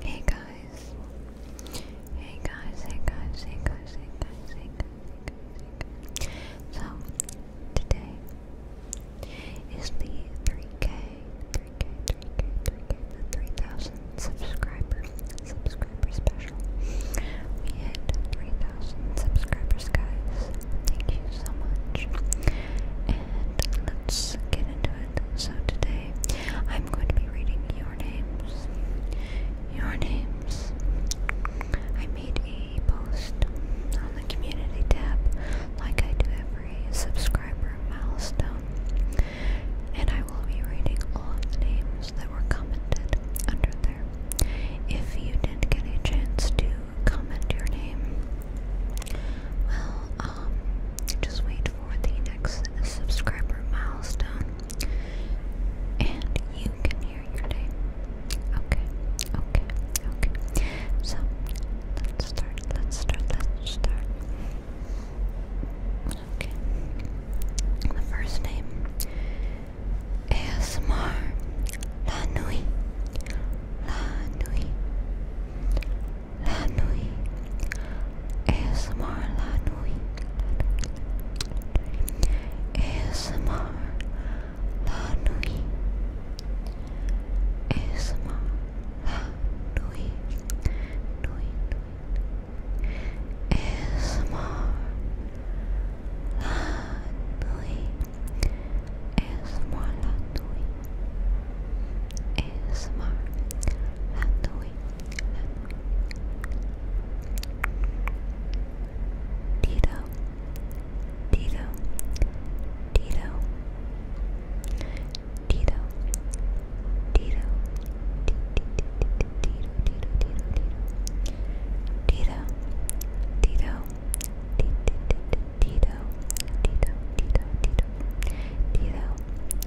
Hey guys. Hey guys, hey guys, hey guys, hey guys, hey guys, So today is the 3K, 3K, 3K, 3K, the 3000 subscriber, subscriber special. We hit 3000 subscribers, guys. Thank you so much let's get into it. So today I'm going to be reading your names. Your names. I made a post on the community tab like I do every subscriber milestone. And I will be reading all of the names that were commented under there. If you didn't get a chance to comment your name, well, um, just wait for the next subscriber milestone and you can hear your day. Okay, okay, okay. So let's start, let's start, let's start. Okay. The first name ASMR La Nui. La Nui la nuit ASMR la nuit ASMR la nuit ASMR la nuit nuit ASMR la nuit ASMR la nuit ASMR Halloween, Halloween. Tito Tito Tito Tito Tito Tito Tito Tito Tito Tito Tito Tito Tito Tito Tito Tito Tito Tito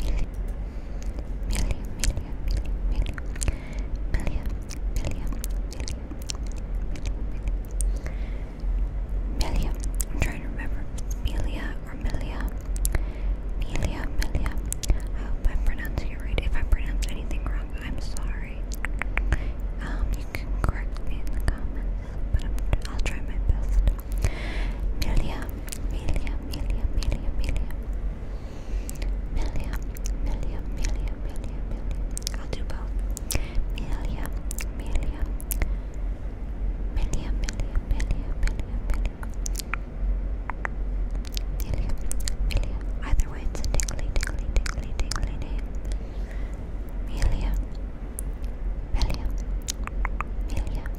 million, million, million, million, million, million, million, million, million, million. I'm trying to remember if it's Melia or Melia. Melia, Melia. I hope I'm pronouncing it right. If I pronounce anything wrong, I'm sorry. Um, you can correct me in the comments, but I'm, I'll try my best. Melia, Melia, Melia, Melia, Melia. Melia, Melia, Melia, Melia, Melia. I'll do both. Melia, Melia. Melia, Melia, Melia, Melia, Melia. Melia, Melia. Either way, it's a tingly, tingly, tingly, tingly name. Melia. Melia. Melia.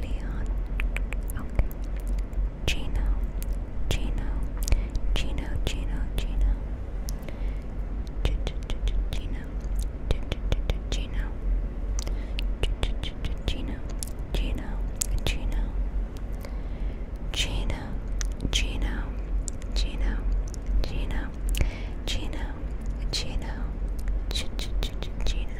Leon. Okay. Gino. Gino. Gino. Gino. Gino. Gino. Gino. Gino. Gino. Gino. Gino, Gino, Gino, Gino, Gino, Gino, Gino, Gino,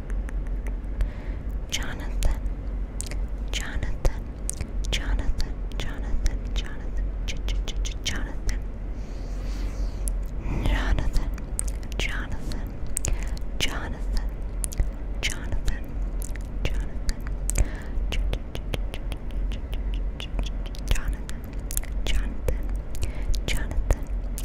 Jonathan, Jonathan, Jonathan, Jonathan, Jonathan, J -j -j -j Jonathan, Jonathan, Jonathan, Jonathan, Jonathan, Jonathan, J -j -j -j -j -j -j Jonathan, Jonathan, Jonathan,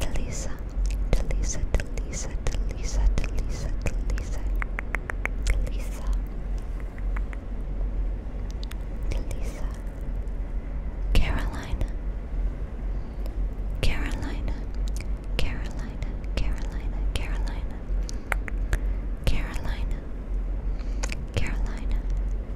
Delisa, Delisa, Delisa, Delisa, Delisa, Delisa, Delisa, Delisa, Carolina, Carolina, Carolina, Carolina, Carolina, Carolina, Carolina,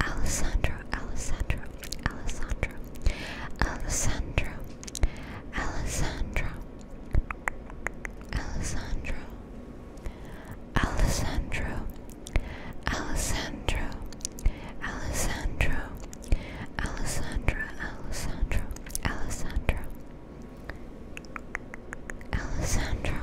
Alessandro, Alessandro, Alessandro, Alessandro, Alessandro, Alessandro, Alessandro, Alessandro, Alessandro, Alessandra, Alessandro, Alessandro, Alessandro,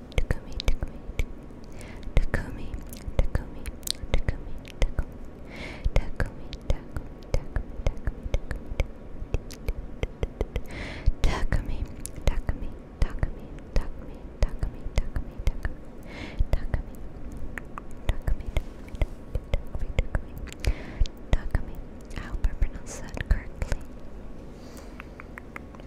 Takumi, Takumi, Takumi, Takumi, Takumi, Takumi, Takumi, Takumi, Takumi, Takumi, Takumi, Takumi, Takumi, Takumi, Takumi, Takumi, Takumi, Takumi. I hope I pronounced that correctly.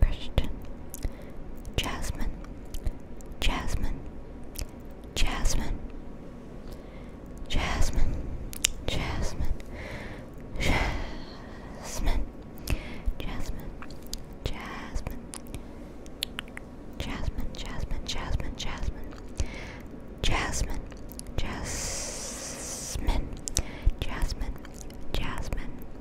Christian, Jasmine, Jasmine, Jasmine, Jasmine, Jasmine, Jasmine, Jasmine, Jasmine, Jasmine, Jasmine, Jasmine, Jasmine, Jasmine, Jasmine, Jasmine, Jasmine.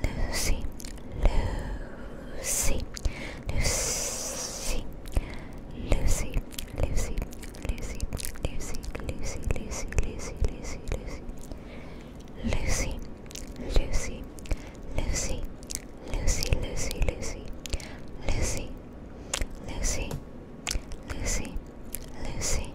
Lucy, Lucy, Lucy, Lucy, Lucy, Lucy, Lucy, Lucy, Lucy, Lucy, Lucy, Lucy. Lucy, Lucy, Lucy, Lucy, Lucy, Lucy, Lucy, Lucy, Lucy, Lucy, Lucy,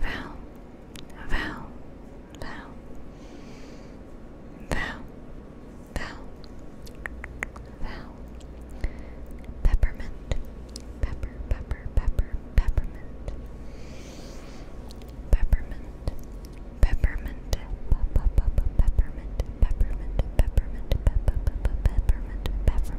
Val, Val, Val, Val, Val, Val, Peppermint, Pepper, Pepper, Pepper, Peppermint, Peppermint, Peppermint, Peppermint, Peppermint, Peppermint, Peppermint, Peppermint, Peppermint,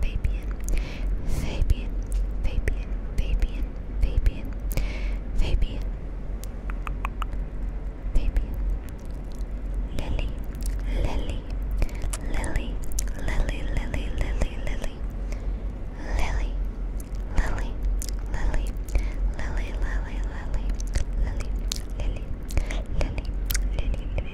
Fabian, Fabian, Fabian, Fabian, Fabian, Fabian, Fabian, Lily, Lily, Lily, Lily, Lily, Lily, Lily, Lily, Lily, Lily, Lily, Lily, Lily, Lily, Lily, Lily, Lily,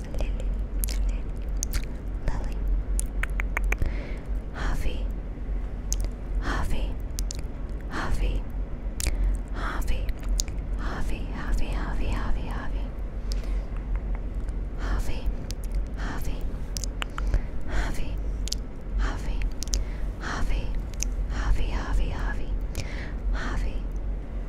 Lily, Lily, Lily, Harvey, Harvey, Harvey, Harvey, Harvey, Harvey, Harvey, Harvey, Harvey, Harvey, Harvey, Harvey, Harvey, Harvey, Harvey, Harvey, Harvey, Harvey,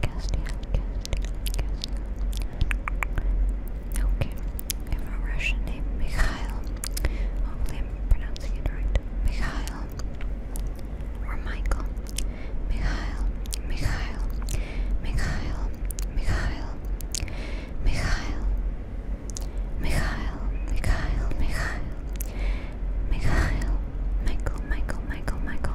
Castian, Okay, we have a Russian name, Mikhail. Hopefully I'm pronouncing it right. Mikhail or Michael. Mikhail, Mikhail, Mikhail, Mikhail, Mikhail, Mikhail, Mikhail, Mikhail, Mikhail, Michael, Michael, Michael, Michael.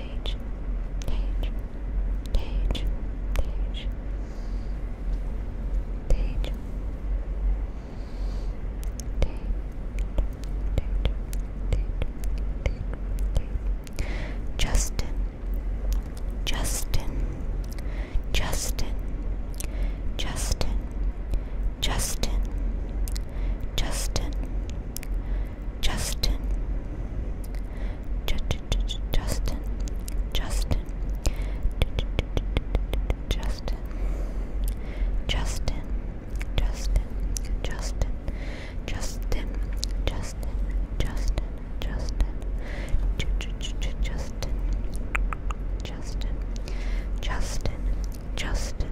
Tage, Tage, Tage, Tage, Tage, Justin, Justin, Justin, Justin, Justin, Justin, Justin, J -j -j Justin, Justin, J -j -j Justin, Justin, Justin, Justin, Justin, Justin, Justin, Justin, J -j -j Justin, Justin, Justin, Justin.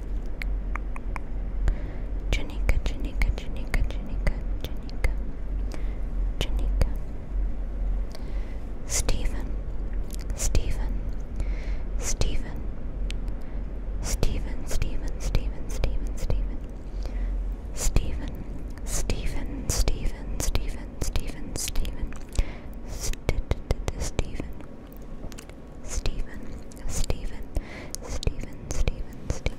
Janika, Janika, Janika, Janika, Janika, Janika. Stephen, Stephen, Stephen, Stephen, Stephen, Stephen, Stephen, Stephen, Stephen, Stephen, Stephen, Stephen, Stephen, Stephen, Stephen. Stephen, Stephen, Stephen, Stephen, Stephen,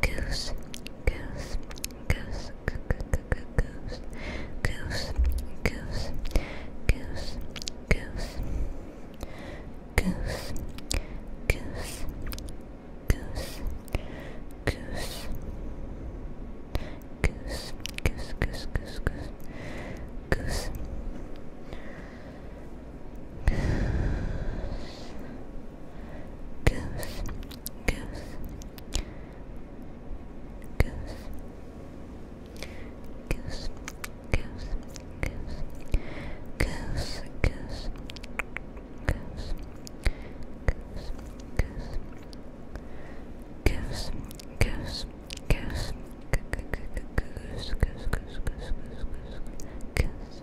Goose, goose, goose, goose, goose, goose, goose, goose, goose, goose, goose, goose. Goose, goose, goose, goose, goose, goose, goose, goose, goose, goose, goose, goose, goose, goose, goose, goose, goose, goose. Goose, goose, goose, goose, goose, goose, goose, goose, goose, goose, goose,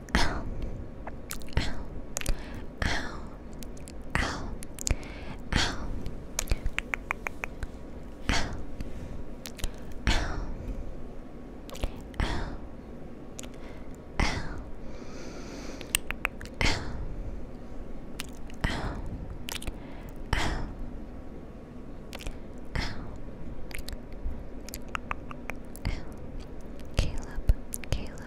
ow, ow, ow, ow, ow, ow, ow, ow. Ow. Ow. Ow. Ow. Ow. Caleb, Caleb,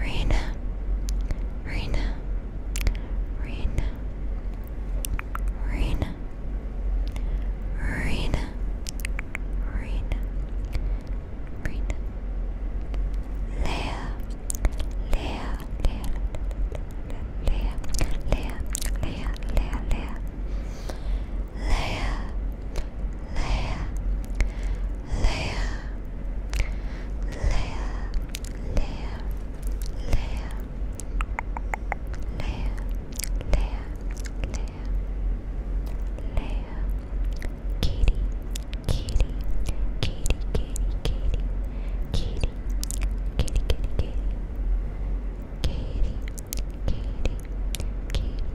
Reina, Reina, Reina, Reina, Rena, Rena, Rena, Leah, Leah, Leah, Leah, Leah, Leah, Leah, Leah, Leah, Leia, Leia, Leia, Leia, Leia, Leia, Leia, Leia, Leia, Katie, Katie, Katie, Katie, Katie, Katie, Katie, Katie, Katie, Katie, Katie,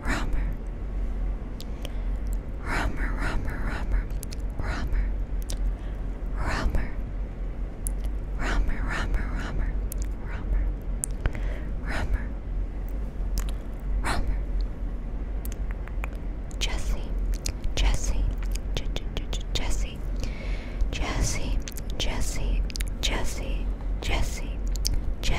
Rummer. Rummer, rummer, rummer, rummer, rummer, rummer, rummer, rummer, rummer, rummer, rummer. Jesse, Jesse, J J J Jesse, Jesse, Jesse, Jesse, Jesse, Jesse.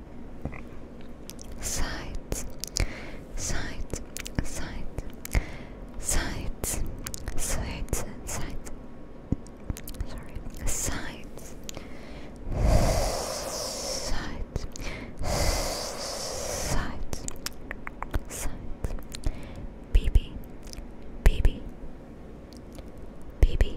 sides, sides, sides, sides, sides, sides. Sorry, sides, sides, sides, sides. BB, BB, BB,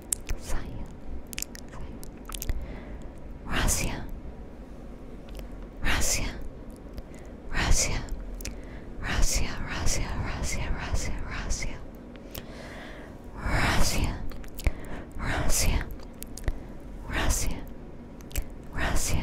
Zion, Russia, Russia, Russia, Russia, Russia, Russia, Russia, Russia, Russia, Russia, Russia, Russia.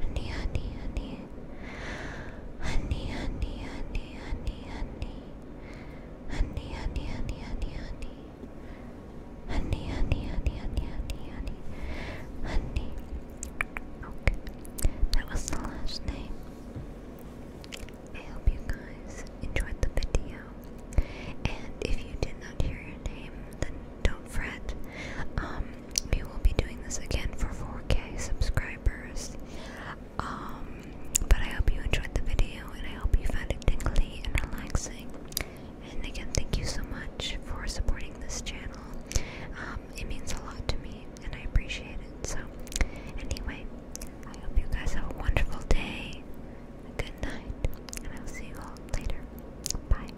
honey, honey, honey, honey, honey, honey, honey, honey, honey, honey, honey, honey, honey, honey, honey, honey, honey, honey, Okay, that was the last name. I hope you guys enjoyed the video. And if you did not hear your name, then don't fret. Um, we will be doing this again for 4K subscribers. Um, but I hope you enjoyed the video and I hope you found it tingly and relaxing. And again, thank you so much for supporting this channel. Um, it means a lot to me and I appreciate it. So, anyway, I hope you guys have a wonderful day, a good night, and I'll see you all later. Bye.